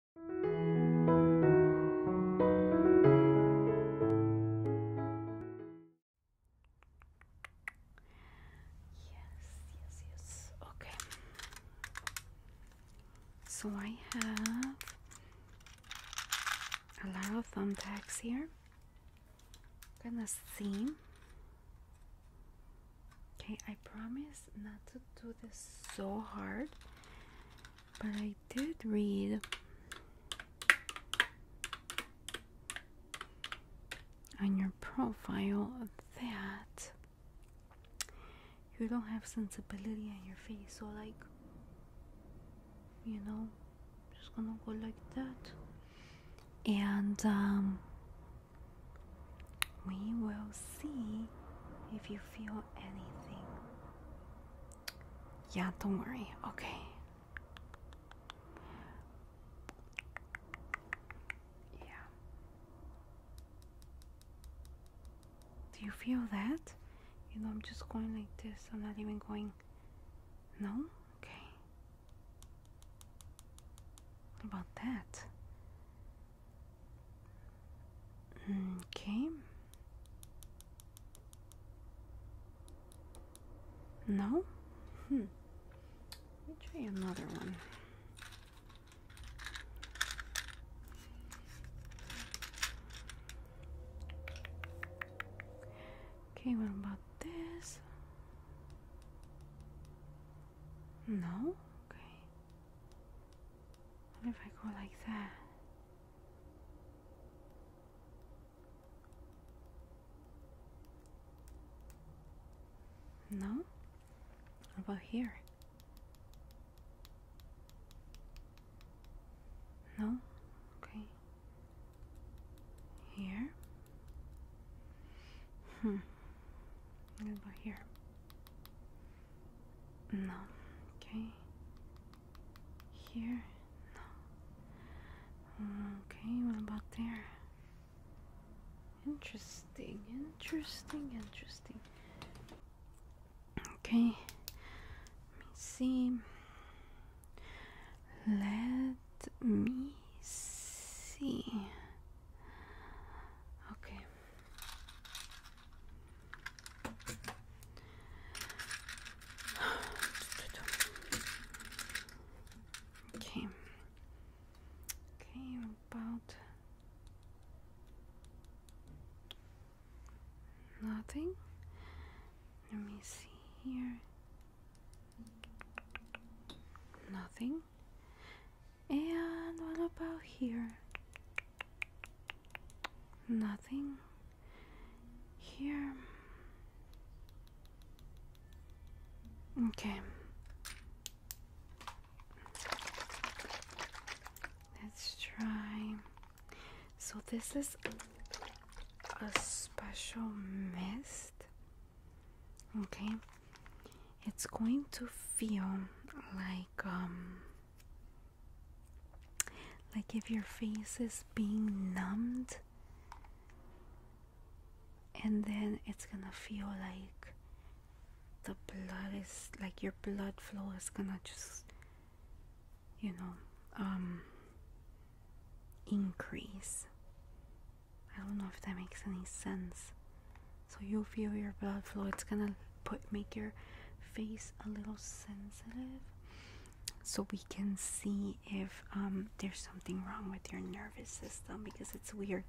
Yes, yes, yes. Okay. So I have a lot of thumbtacks here. I'm gonna see. Okay, I promise not to do this so hard but I did read on your profile that you don't have sensibility in your face, so like you know, just gonna go like that, and um, we will see if you feel anything. Yeah, don't worry. Okay. Yeah. Do you feel that? You know, I'm just going like this. I'm not even going. No? Okay. What about that? Okay. No? Hmm. Let me try another one. Okay, what about this? No? Okay. What if I go like that? No? What about here? No? Okay. Here? Hmm. What about here? No. Okay. Here? No. Okay, what about there? Interesting, interesting, interesting. Okay. Let me see. Let me see. Okay. Okay. Okay, about nothing. Let me see here. Nothing. And what about here? Nothing here. Okay. Let's try. So, this is a special mist. Okay. It's going to feel like um like if your face is being numbed, and then it's gonna feel like the blood is like your blood flow is gonna just, you know, um, increase. I don't know if that makes any sense. So you feel your blood flow, it's gonna put make your face a little sensitive so we can see if um, there's something wrong with your nervous system because it's weird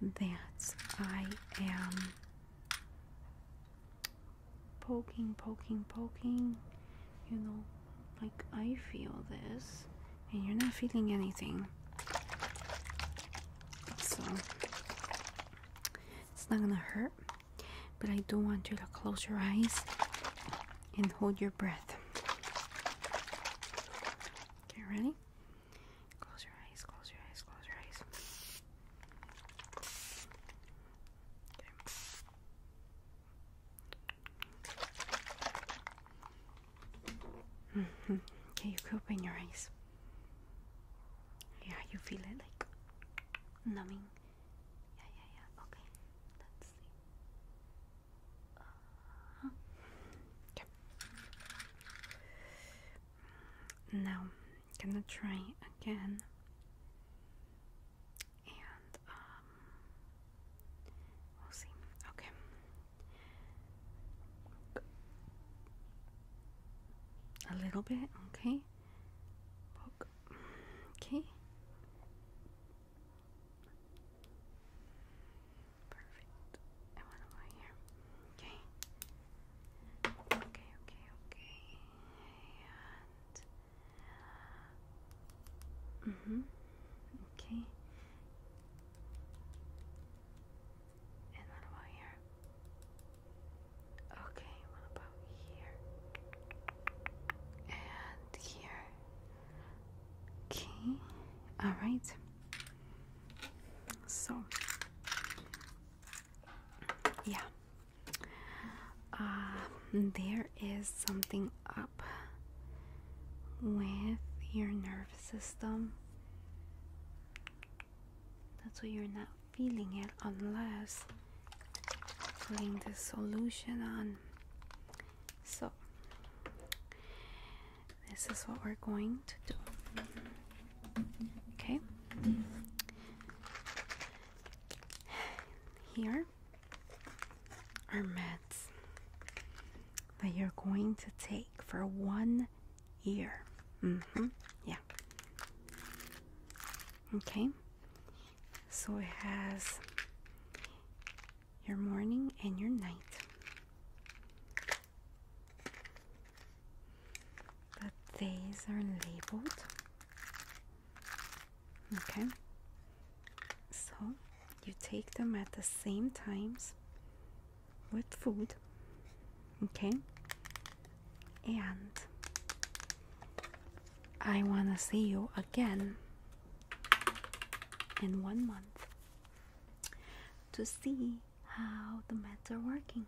that I am poking, poking, poking. You know, like I feel this, and you're not feeling anything. So, it's not gonna hurt but I do want you to close your eyes and hold your breath. Okay, ready? Close your eyes, close your eyes, close your eyes. Okay, okay mm-hmm. you can open your eyes. Yeah, you feel it like numbing. Yeah, yeah, yeah. Okay, let's see. Uh -huh. Mm, now, gonna try again. And, um, we'll see. Okay. A little bit, okay. Okay. Perfect. I want to lie here. Okay. Okay, okay, okay. And. Mm hmm. Okay. And what about here? Okay, about here? And here. Okay, alright. So, yeah. Uh, there is something up with your nervous system. That's what you're not feeling it unless putting the solution on so this is what we're going to do okay here are meds that you're going to take for one year mm-hmm. yeah Okay, so it has your morning and your night. The days are labeled. Okay, so you take them at the same times with food. Okay, and I want to see you again in one month to see how the meds are working.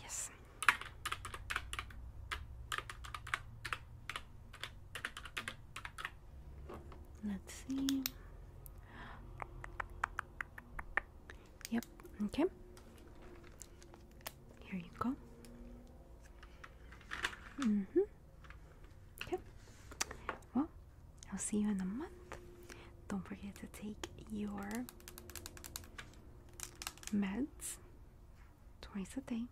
Yes. Let's see. Yep, okay. Here you go. Mm hmm. Okay. Well, I'll see you in a month. Don't forget to take your meds twice a day,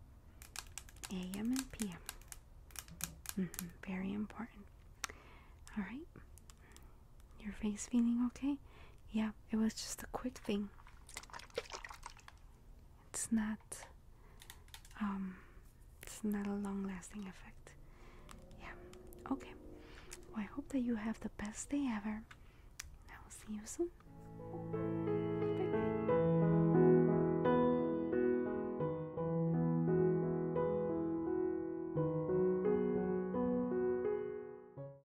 AM and PM. -hmm. Very important. All right. Your face feeling okay? Yeah, it was just a quick thing. It's not um it's not a long-lasting effect. Yeah. Okay. I hope that you have the best day ever. I will see you soon. bye.